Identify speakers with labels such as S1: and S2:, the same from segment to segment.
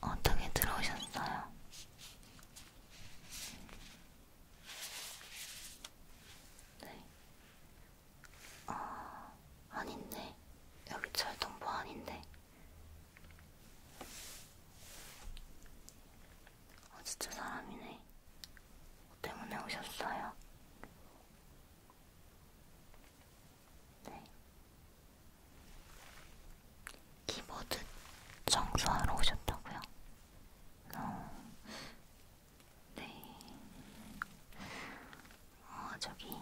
S1: 어떻게 들어오셨어요? 네. 아, 아닌데. 여기 철동부 뭐 아닌데. 아, 진짜 사람이네. 뭐 때문에 오셨어요? 네. 키보드 청소하러 오셨다고요? 어. 네. 어, 저기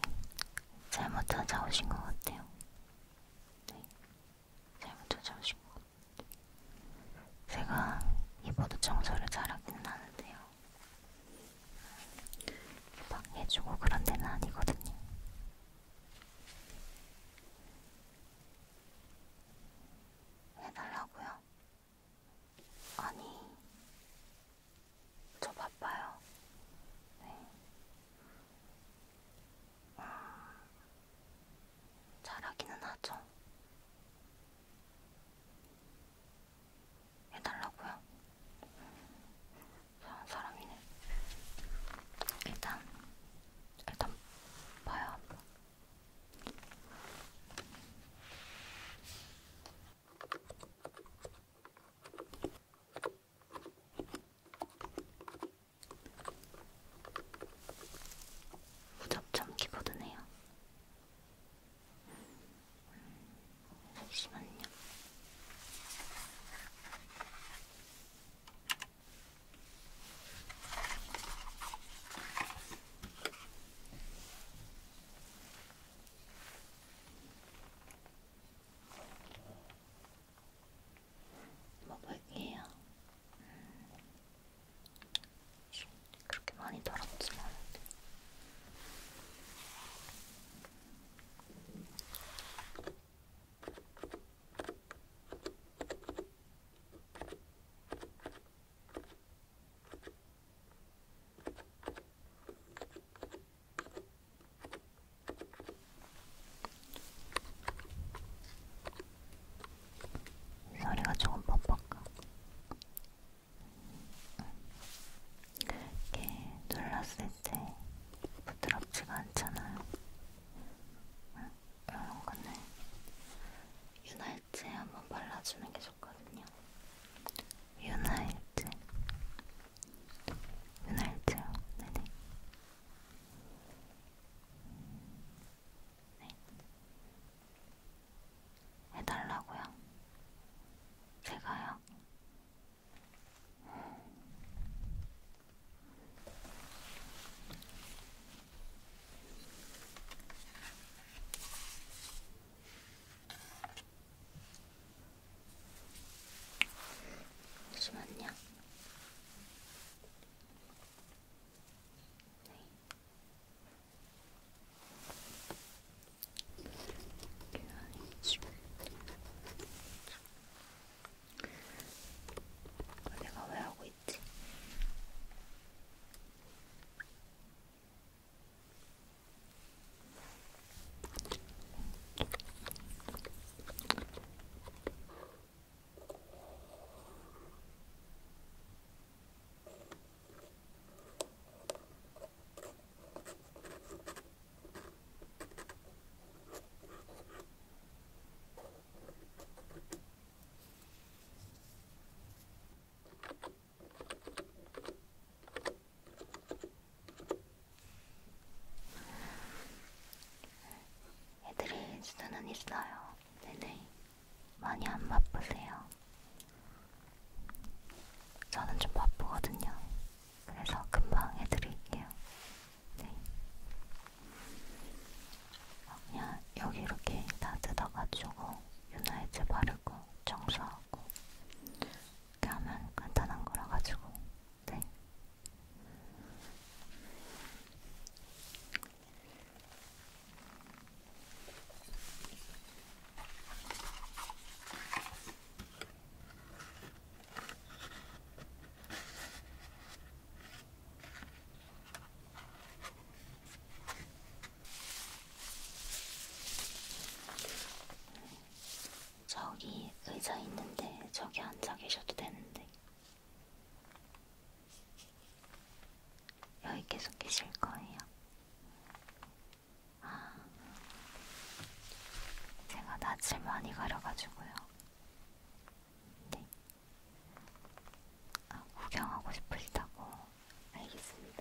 S1: 잘못 찾아오신 것 같아요. 네. 잘못 찾아오신 것 같아요. 제가 키보드 청소를 잘하기는 하는데요. 음, 막 해주고 그런 데는 아니거든요. 해달라고요? 아니, 저 바빠요. 네. 음, 잘하기는 하죠. 해달라고요? 이상한 사람이네. 일단 일단 봐요. 무접점 키보드네요. 음, 잠시만요. 먹을게요. 음. 그렇게 많이 더럽지는 않은데. 음. 소리가 조금 뻑뻑한 이렇게 눌렀을 때 부드럽지가 않잖아요. 응? 이런 거는 윤활제 한번 발라주는 게 좋거든요. 윤활제. 윤활제요. 네네. 네. 해달라고요? 제가요? 잠시만요. 네. 내가 왜 하고 있지? 애들이 수는 있어요. 네네. 많이 안 바쁘세요. 저는 좀 바쁘거든요. 그래서 금방 해드릴게요. 네. 그냥 여기 이렇게 다 뜯어가지고 윤활제 바르고 청소하고 이렇게 하면 간단한 거라 가지고 네. 저기 의자 있는데 저기 앉아 계셔도 되는데 여기 계속 계실 거예요. 제가 낯을 많이 가려가지고요. 네. 아, 구경하고 싶으시다고. 알겠습니다.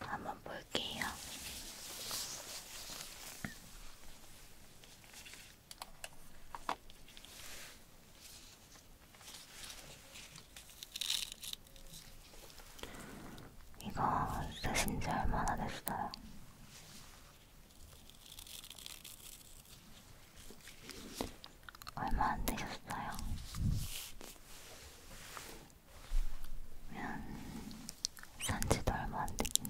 S1: 한번 볼게요. 이거 쓰신 지 얼마나 됐어요? 얼마 안 되셨어요? 그러면 음, 산지도 얼마 안 되겠네.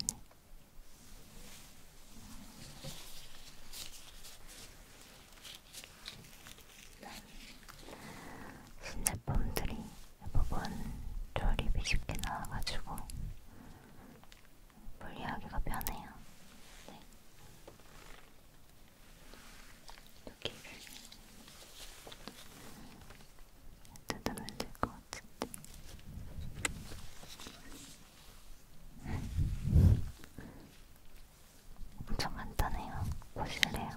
S1: 신제품들이 대부분 조립이 쉽게 나와가지고 분리하기가 편해요. 네. 여기를 뜯으면 될 것 같은데. 엄청 간단해요. 보실래요?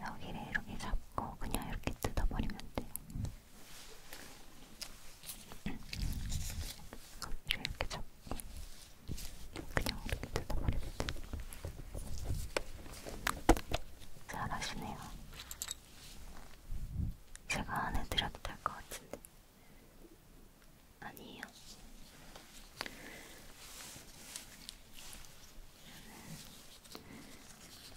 S1: 여기를 이렇게 잡고 그냥 이렇게 뜯어버리면 돼요. 껍질을 이렇게 잡고 그냥 이렇게 뜯어버리면 돼요. 잘하시네요. 제가 안 해드려도 될 것 같은데. 아니에요.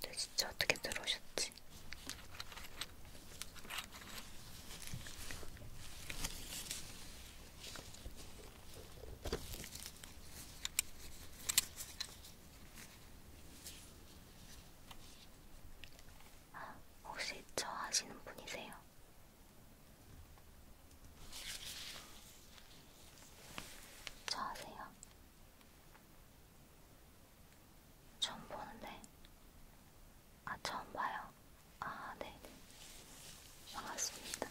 S1: 근데 네, 진짜 어떻게 들어오셨지? 아, 혹시 저 아시는 분이세요? 저 아세요? 처음 보는데 아 처음 봐요? 아 네. 반갑습니다.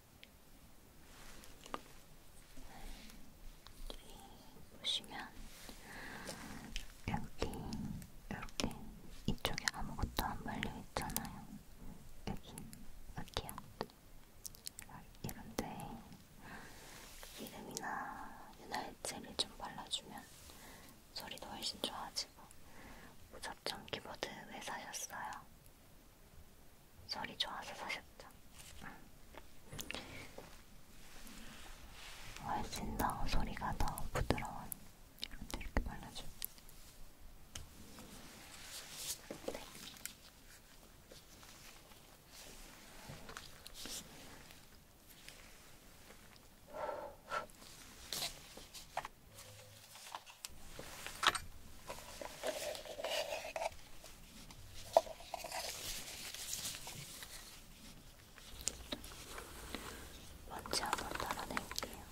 S1: 여기 보시면 여기 이렇게 이쪽에 아무것도 안 발려 있잖아요. 여기 여기요. 이런데 기름이나 윤활제를 좀 발라주면 소리도 훨씬 좋아지고 무작정 키보드 왜 사셨어요? 소리 좋아서 사셨죠? 훨씬 더 소리가 더 부드러워요. 이렇게, 이렇게 발라줘. 네. 먼지 한번 따라낼게요.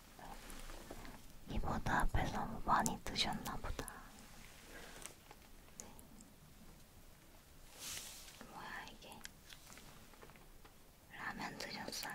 S1: 이보다 앞에서 뭐 많이 드셨나 보다. 네. 뭐야 이게? 라면 드셨어요?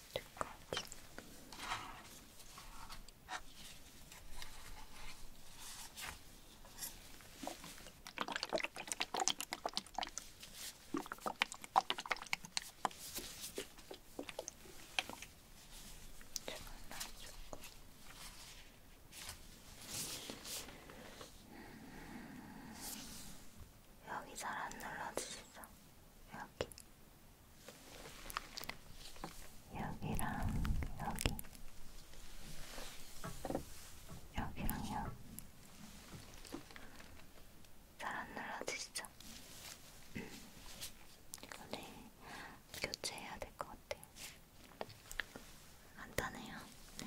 S1: 두 가지. 여기 잘 안 눌러주시죠? 여기 여기랑 여기 여기랑 여기 잘 안 눌러지시죠? 오늘 교체해야 될 것 같아요. 간단해요. 네.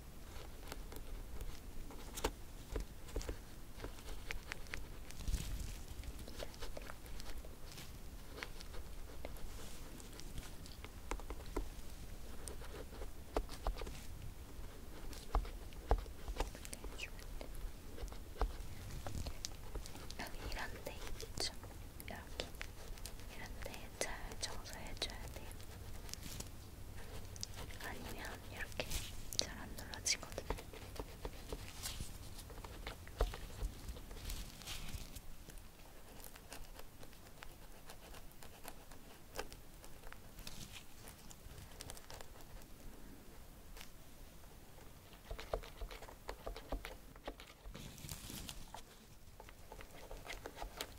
S1: 이런 데 있죠? 이렇게 이런 데잘 청소해줘야 돼요. 아니면 이렇게 잘안 눌러지거든요.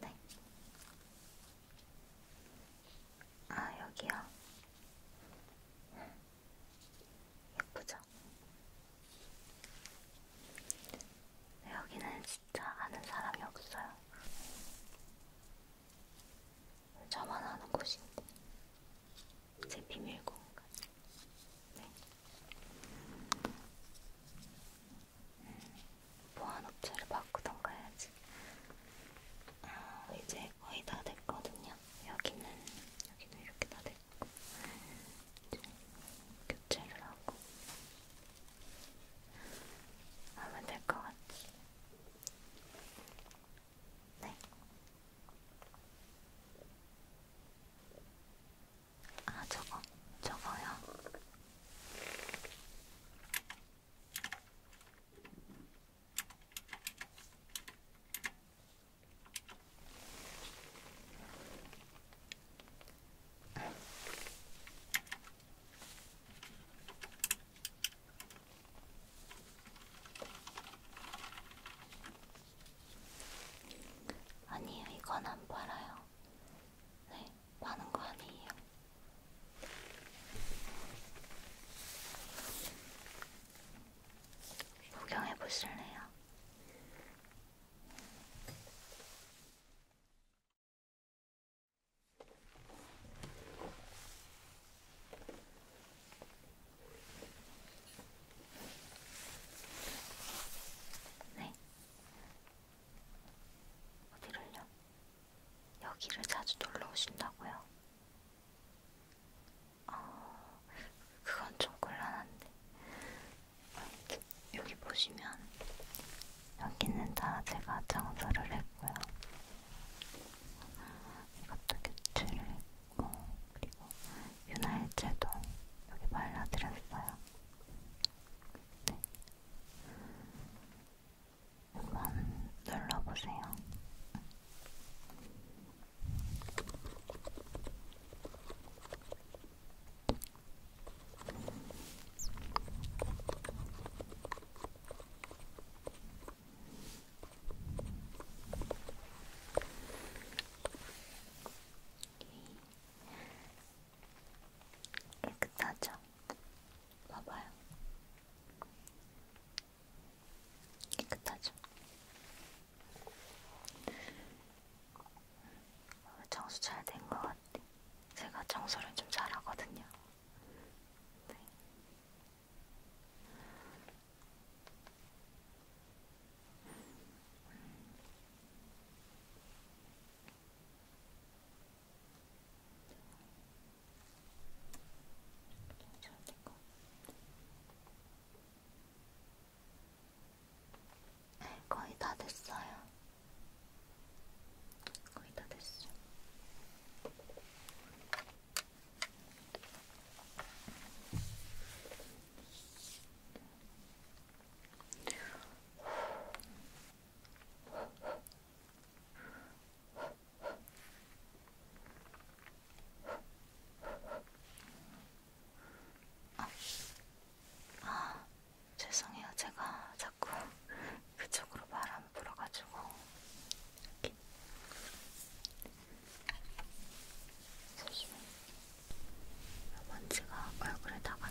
S1: 네. 아, 여기요. 예쁘죠? 네, 여기는 진짜 아는 사람이 없어요. 저만 아는 곳인데. 제 비밀 공간. 보안업체를 바꾸던가 해야지. 아, 이제 거의 다 됐거든요. 여기는, 여기는 이렇게 다 됐고. 이제 교체를 하고. 하면 될 것 같지. 네. 아 저거 저거요. 아니요, 이건 안 팔아요. 네, 파는 거 아니에요. 구경해 보실래요? 네. 어디를요? 여기를 자주 놀러 오신다고요? 어, 그건 좀 곤란한데. 여기 보시면, 여기는 다 제가 장소를 했고요. 음, 이것도 교체를 했고, 그리고 윤활제도 여기 발라드렸어요. 네. 한번 눌러보세요. 이렇게 깨끗하죠? 봐봐요. 깨끗하죠? 청소 어, 잘된 것 같아. 제가 청소를 좀 잘하거든요. 네. 네, 거의 다 됐어요. 거의 다 됐어. 아, 아 죄송해요. 제가 자꾸 그쪽으로 바람 불어가지고 이렇게 조심히. 먼지가 얼굴에 나갔네.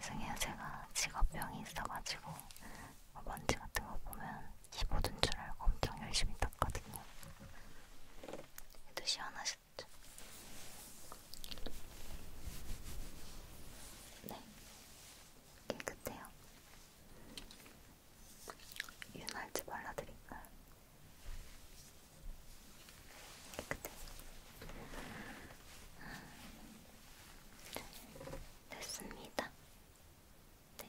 S1: 승희야 제가 직업병이 있어가지고 뭐 먼지 같은 거 보면 키 묻은 줄 알고 엄청 열심히 닦거든요. 얘도 시원하셨죠? 네, 깨끗해요. 윤활제 발라드릴까요? 깨끗해요. 됐습니다. 네.